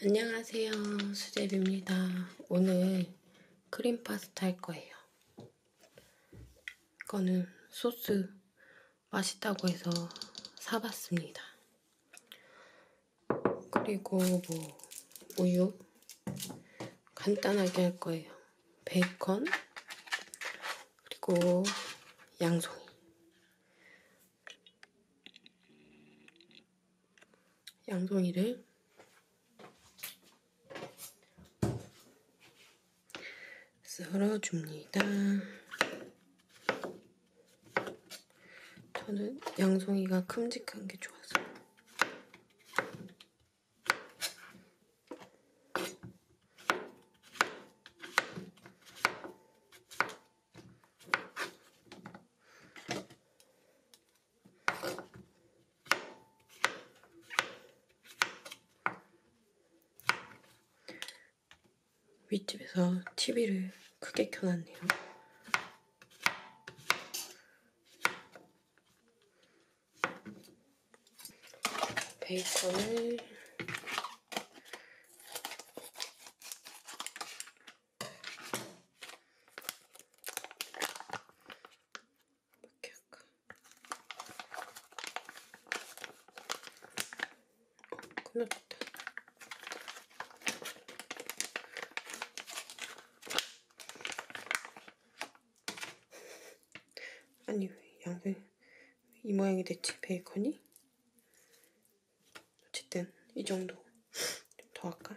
안녕하세요. 수제비입니다. 오늘 크림 파스타 할 거예요. 이거는 소스 맛있다고 해서 사봤습니다. 그리고 뭐 우유 간단하게 할 거예요. 베이컨 그리고 양송이 양송이를 썰어줍니다. 저는 양송이가 큼직한 게 좋아서. 윗집에서 TV를 크게 켜놨네요. 베이컨을 이렇게 할까? 어, 끝났다. 아니, 왜 양배, 이 모양이 됐지? 베이컨이? 어쨌든 이 정도 좀더 할까?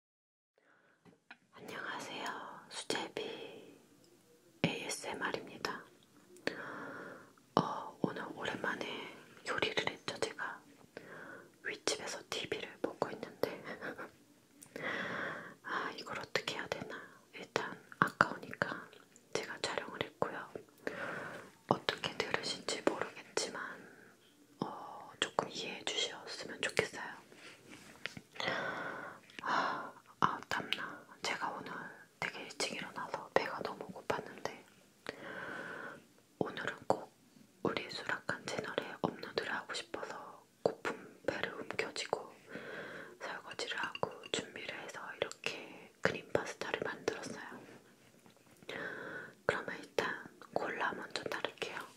안녕하세요. 수제비 ASMR입니다. 어, 오늘 오랜만에 요리를 했죠, 제가. 윗집에서 TV를 보고 있는데. 아, 이걸 어떻게 해야 되나. 일단, 아까우니까 제가 촬영을 했고요. 어떻게 들으실지 모르겠지만, 어, 조금 이해해 주셨으면 좋겠어요. 아, 아, 땀나. 제가 오늘 되게 일찍 일어나서 배가 너무 고팠는데 오늘은 꼭 우리 수락한 채널에 업로드를 하고 싶어서 고픈 배를 움켜쥐고 설거지를 하고 준비를 해서 이렇게 크림 파스타를 만들었어요. 그러면 일단 콜라 먼저 따를게요.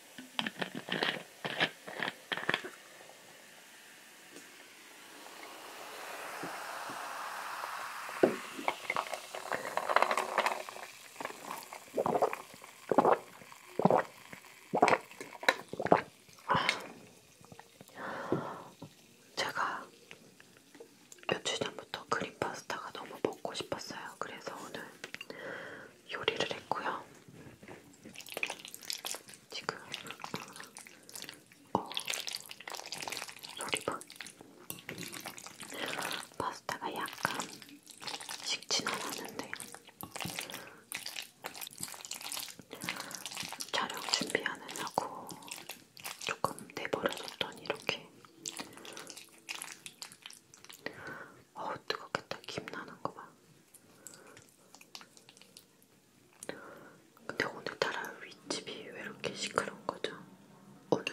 제가 며칠 전부터 그린 파스타가 너무 먹고 싶었어요. 그래서 오늘 요리를 했고요. 지금 어, 소리봐. 파스타가 약간 식진 않았는데 촬영 준비하느라고 조금 내버려뒀더니 이렇게 어우 뜨겁겠다 김 나는 거 봐. 근데 오늘따라 윗집이 왜 이렇게 시끄러운 거죠? 오늘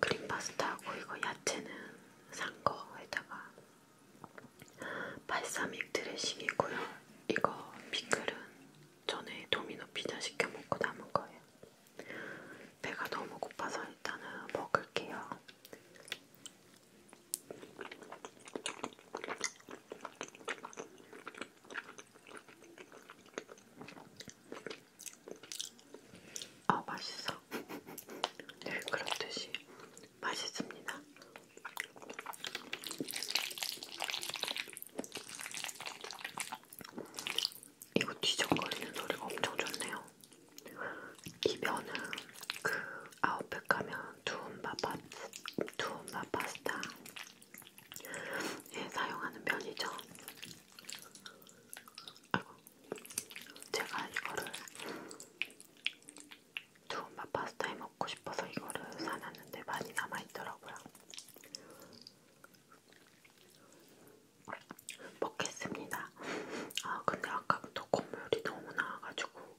크림 파스타하고 이거 야채는 산 거에다가 발사믹 드레싱이고요. 이거 피클은 전에 도미노 피자 시켜 먹고 남은 거예요. 배가 너무 고파서 일단은 먹을게요. 아 맛있어. 늘 네, 그렇듯이 맛있습니다. 이거 뒤적거리는 소리가 엄청 좋네요. 이 면은 그 아웃백 가면 두움바 파스, 두움바 파스타에 사용하는 면이죠. 아이고, 제가 이거를 두움바 파스타에 먹고 싶어서 이거를 사놨는데 많이 남아있더라고요. 먹겠습니다. 아 근데 아까부터 콧물이 너무 나와가지고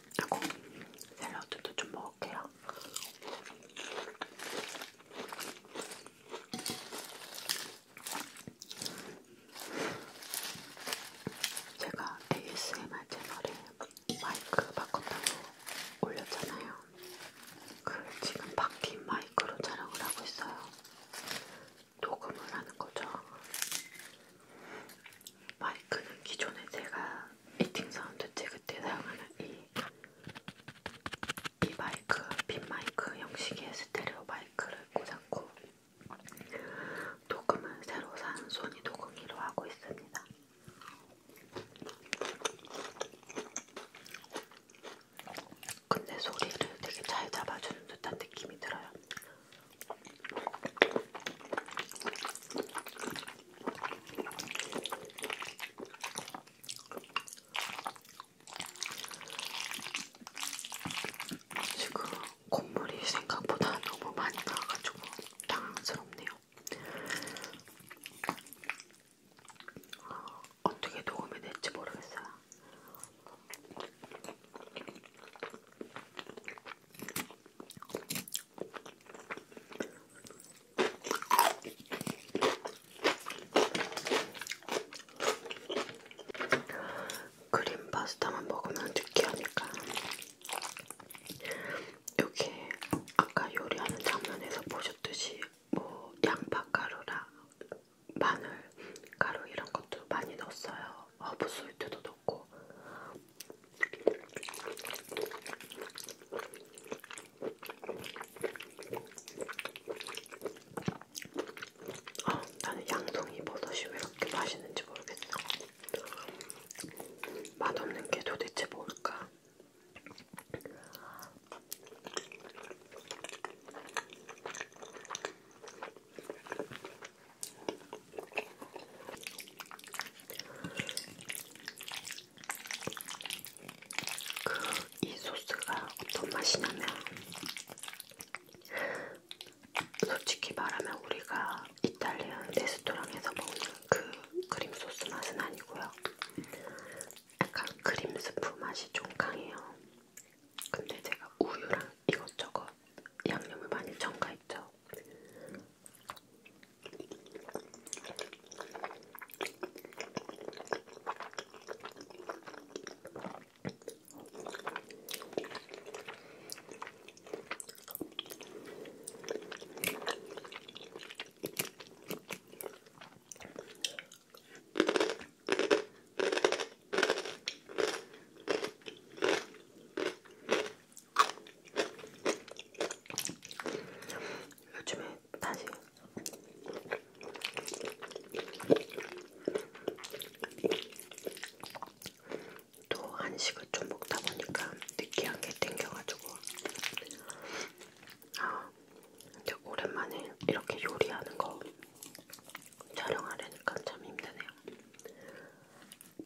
하고 샐러드도 좀 먹을게요. 제가 ASMR 채널에 마이크 바꿨다고 올렸잖아요. 그 지금 바뀐 마이크로 촬영을 하고 있어요. 녹음을 하는 거죠. 마이크는 기존에 제가 이팅 사운드 찍을 때 사용하는 이, 이 마이크, 빈 마이크 형식의 스테레오 마이크를 꽂았고 녹음은 새로 산 소니 녹음기로 하고 있습니다. 근데 소리를 되게 잘 잡아주는 듯한 느낌이 들어요. 지금 콧물이 생각보다 너무 많이 나와가지고 당황스럽네요. 어, 어떻게 녹음이 될지 모르겠어요. 크림 파스타만 먹으면 느끼하니까 여기 아까 요리하는 장면에서 보셨듯이 뭐 양파가루랑 마늘 가루 이런 것도 많이 넣었어요. 허브솔트도 먹고 아, 나는 양송이 버섯이 왜 이렇게 맛있는지 모르겠어. 맛없는 게 도대체 뭘까? 그이 소스가 어떤 맛이냐면 솔직히 말하면 우리가 이탈리안 레스토랑에서 먹는 그 크림 소스 맛은 아니고요. 약간 크림 스프 맛이 좀 강해요. 근데 제가 우유랑 이것저것 양념을 많이 첨가했죠. 요즘에 다시 또 한식을 좀 먹다 보니까 느끼한 게 땡겨가지고 아 이제 오랜만에 이렇게 요리하는 거 촬영하려니까 참 힘드네요.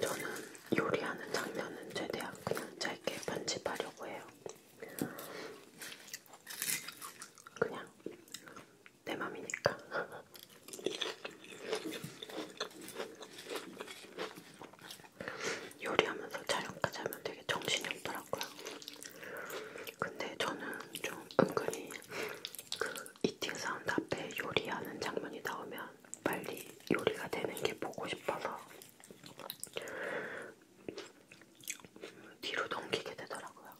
저는 요리하는 장면은 최대한 그냥 짧게 편집하려고 해요. 그냥 내 맘이니까. 요리하면서 촬영까지 하면 되게 정신이 없더라고요. 근데 저는 좀 은근히 그 이팅 사운드 앞에 요리하는 장면이 나오면 빨리 요리가 되는 게 보고 싶어서 뒤로 넘기게 되더라고요.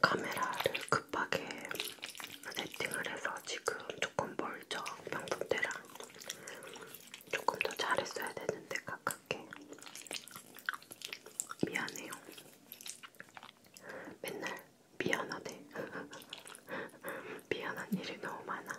카메라를 급하게 세팅을 해서 지금 조금 멀죠. 평소 때랑 조금 더 잘했어야 되는데 가깝게 미안해요. 맨날 미안하대. 미안한 일이 너무 많아.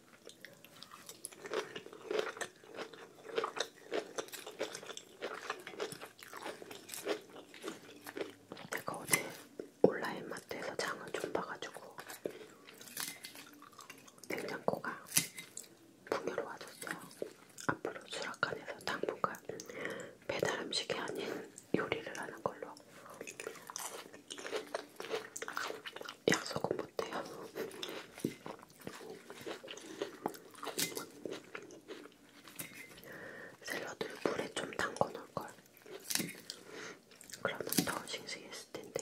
내가 어제 온라인 마트에서 장을 좀 봐가지고 냉장고가 풍요로워졌어요. 앞으로 수락관에서 당분간 배달 음식이 아닌 요리를 하는 걸로. 약속은 못해요. 샐러드를 물에 좀 담궈 놓을걸. 그러면 더 싱싱했을 텐데.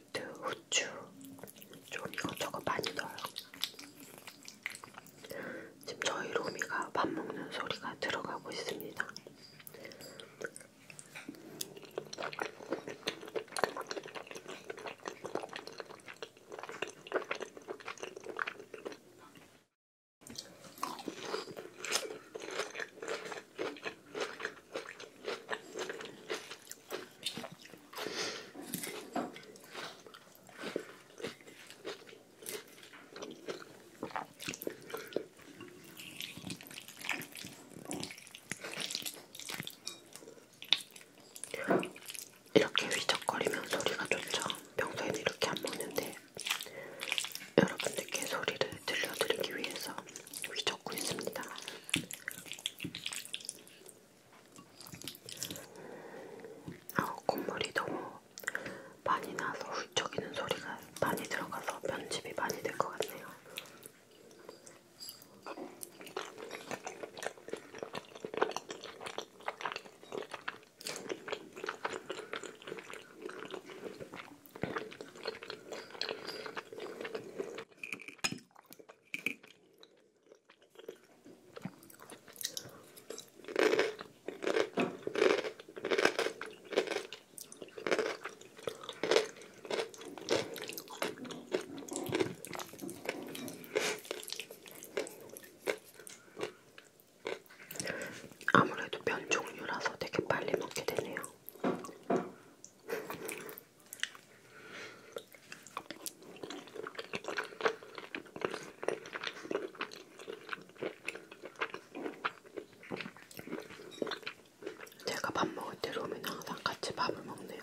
솔트, 후추 좀 이것저것 많이 넣어요. 지금 저희 로미가 밥 먹는 소리가 들어가고 있습니다. 이렇게 휘적거리면 소리가 좋죠. 평소에는 이렇게 안 먹는데 여러분들께 소리를 들려드리기 위해서 휘젓고 있습니다. 아, 콧물이 너무 많이 나서 훌쩍이는 소리가 많이 들어가서 편집이 많이 될 것 같네요. 아무래도 면 종류라서 되게 빨리 먹게 되네요. 제가 밥 먹을 때 로미는 항상 같이 밥을 먹네요.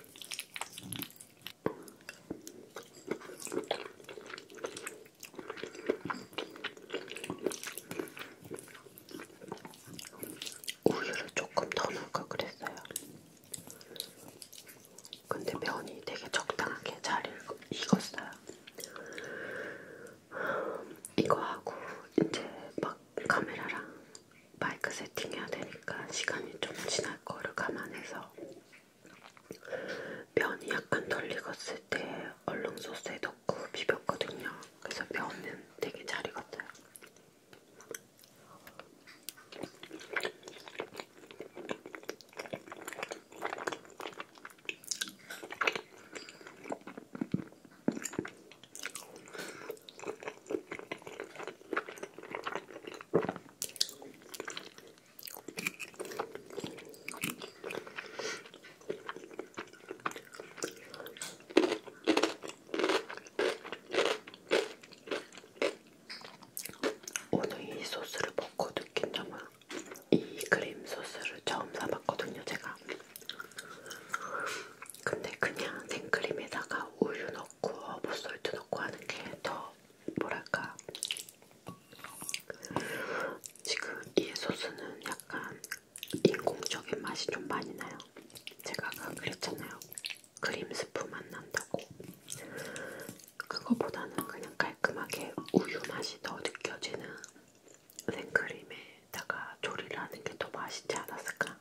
우유를 조금 더 넣을 걸 그랬어요. 근데 면이 되게 적당하게 잘 익었어요. 이거 하고 이제 막 카메라랑 마이크 세팅해야 되니까 시간이 좀 지날 거를 감안해서 면이 약간 덜 익었을 때 얼른 소스에 넣고 비볐거든요. 그래서 면은 되게 잘 익었어요. 오늘 이 소스를 먹고 느낀 점은 이 크림 소스를 처음 사봤거든요, 제가. 근데 그냥 생크림에다가 우유 넣어 넣고 모쏠트 넣고 하는 게 더 뭐랄까 지금 이 소스는 약간 인공적인 맛이 좀 많이 나요. 제가 아까 그랬잖아요. 크림 스프 맛 난다고. 그거보다는 그냥 깔끔하게 우유 맛이 더 느껴지는 생크림에다가 조리를 하는 게 더 맛있지 않았을까?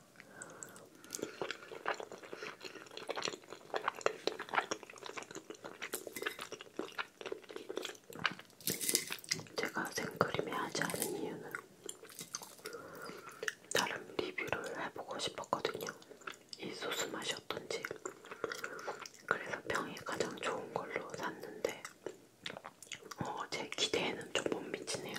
제가 생크림에 하지 않은 이유는 다른 리뷰를 해보고 싶었거든요. 이 소스 맛이 어떤지. 그래서 병이 가장 좋은 걸로 샀는데, 어, 제 기대에는 좀 못 미치네요.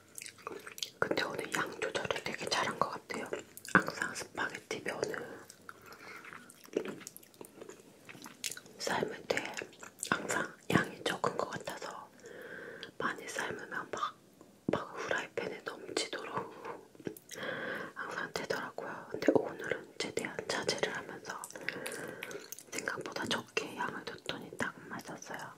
근데 오늘 양 조절을 되게 잘한 것 같아요. 항상 스파게티 면은 삶을 때 항상 양이 적은 것 같아서 많이 삶으면 막, 막 후라이팬에 넘치도록 항상 되더라고요. 근데 오늘은 최대한 자제를 하면서 생각보다 적게 양을 뒀더니 딱 맞았어요.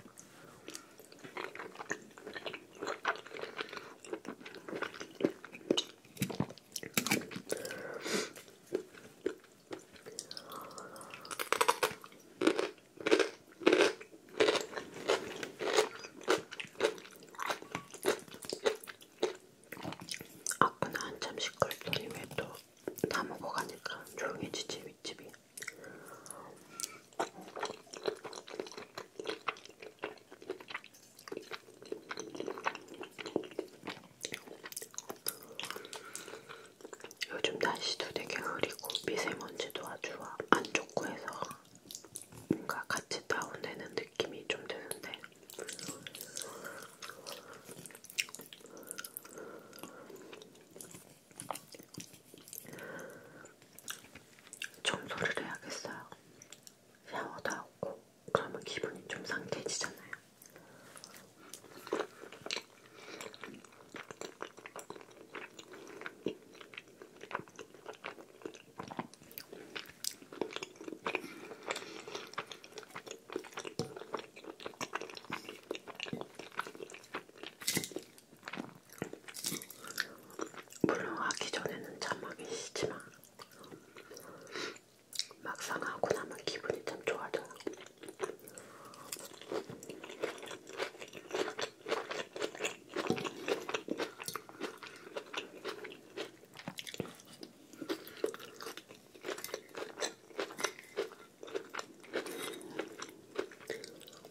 아까는 한참 시끄럽더니 왜또 다먹어 가니까 조용해지지 윗집이 요즘 날씨도 되게 흐리고 미세먼지도 아주 안 좋고 해서 뭔가 같이 다운되는 느낌이 좀 드는데 청소를 해야겠어요. 샤워도 하고 그러면 기분이 좀 상쾌해지잖아요. 물론 하기 전에는 참 하기 싫지만 막상 하고 나면 기분이 참 좋아져요.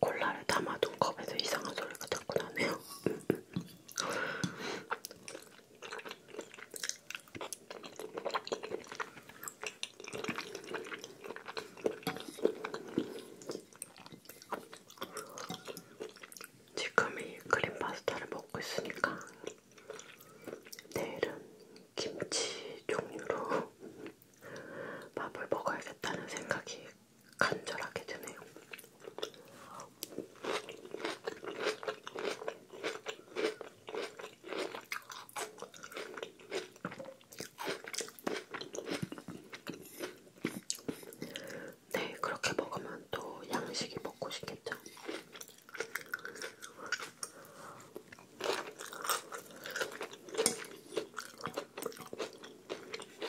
콜라를 담아둔 컵에서 이상한 소리가 자꾸 나네요. 지금 이 크림 파스타를 먹고 있으니까 내일은 김치 종류로 밥을 먹어야겠다는 생각이 간절하게 드네요. 네, 그렇게 먹으면 또 양식이 먹고 싶겠죠?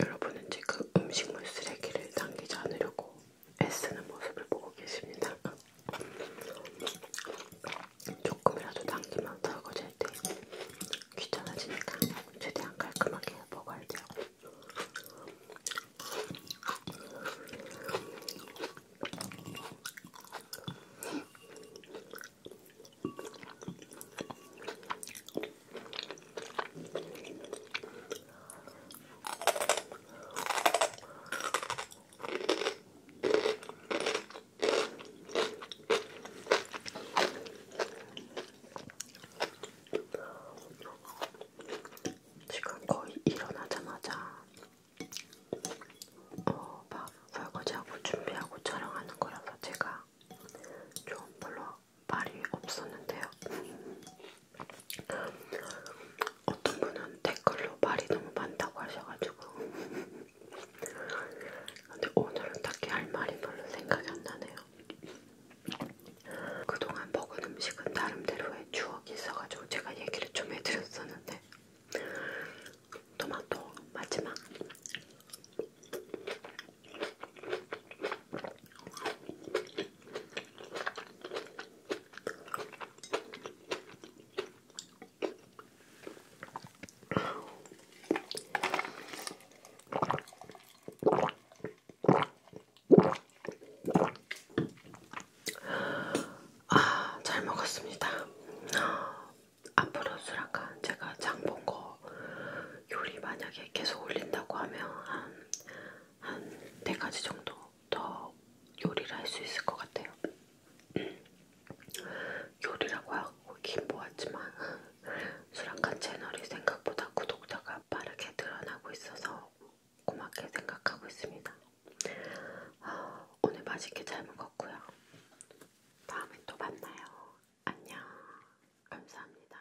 여러분은 지금 음식물 쓰레기를 남기지 않으려고 애쓰는 모습을 보고 계십니다. 조금이라도 당기면 떨궈질 때 귀찮아지니까 최대한 깔끔하게 먹어야 돼요. 지금 거의 일어나자마자 어, 막 설거지하고 준비하고 촬영하는 거라서 제가 좀 별로 말이 없었는데요. 어떤 분은 댓글로 말이 너무 많다고 하셔가지고 근데 오늘은 딱히 할 말이 별로 생각이 안 나네요. 그동안 먹은 음식은 나름대로의 추억이 있어가지고 제가 얘기를 좀 해드렸었는데 토마토 마지막 아, 잘 먹었습니다. 앞으로 수락한 제가 장본 거 요리 만약에 계속 올린다고 하면 한, 한 4가지 정도 더 요리를 할 수 있을 것 같아요. 요리라고 하긴 뭐하지만 수락한 채널이 생각보다 구독자가 빠르게 늘어나고 있어서 고맙게 생각하고 있습니다. 아, 오늘 맛있게 잘 먹었고요. 다음에 또 만나요. 안녕. 감사합니다.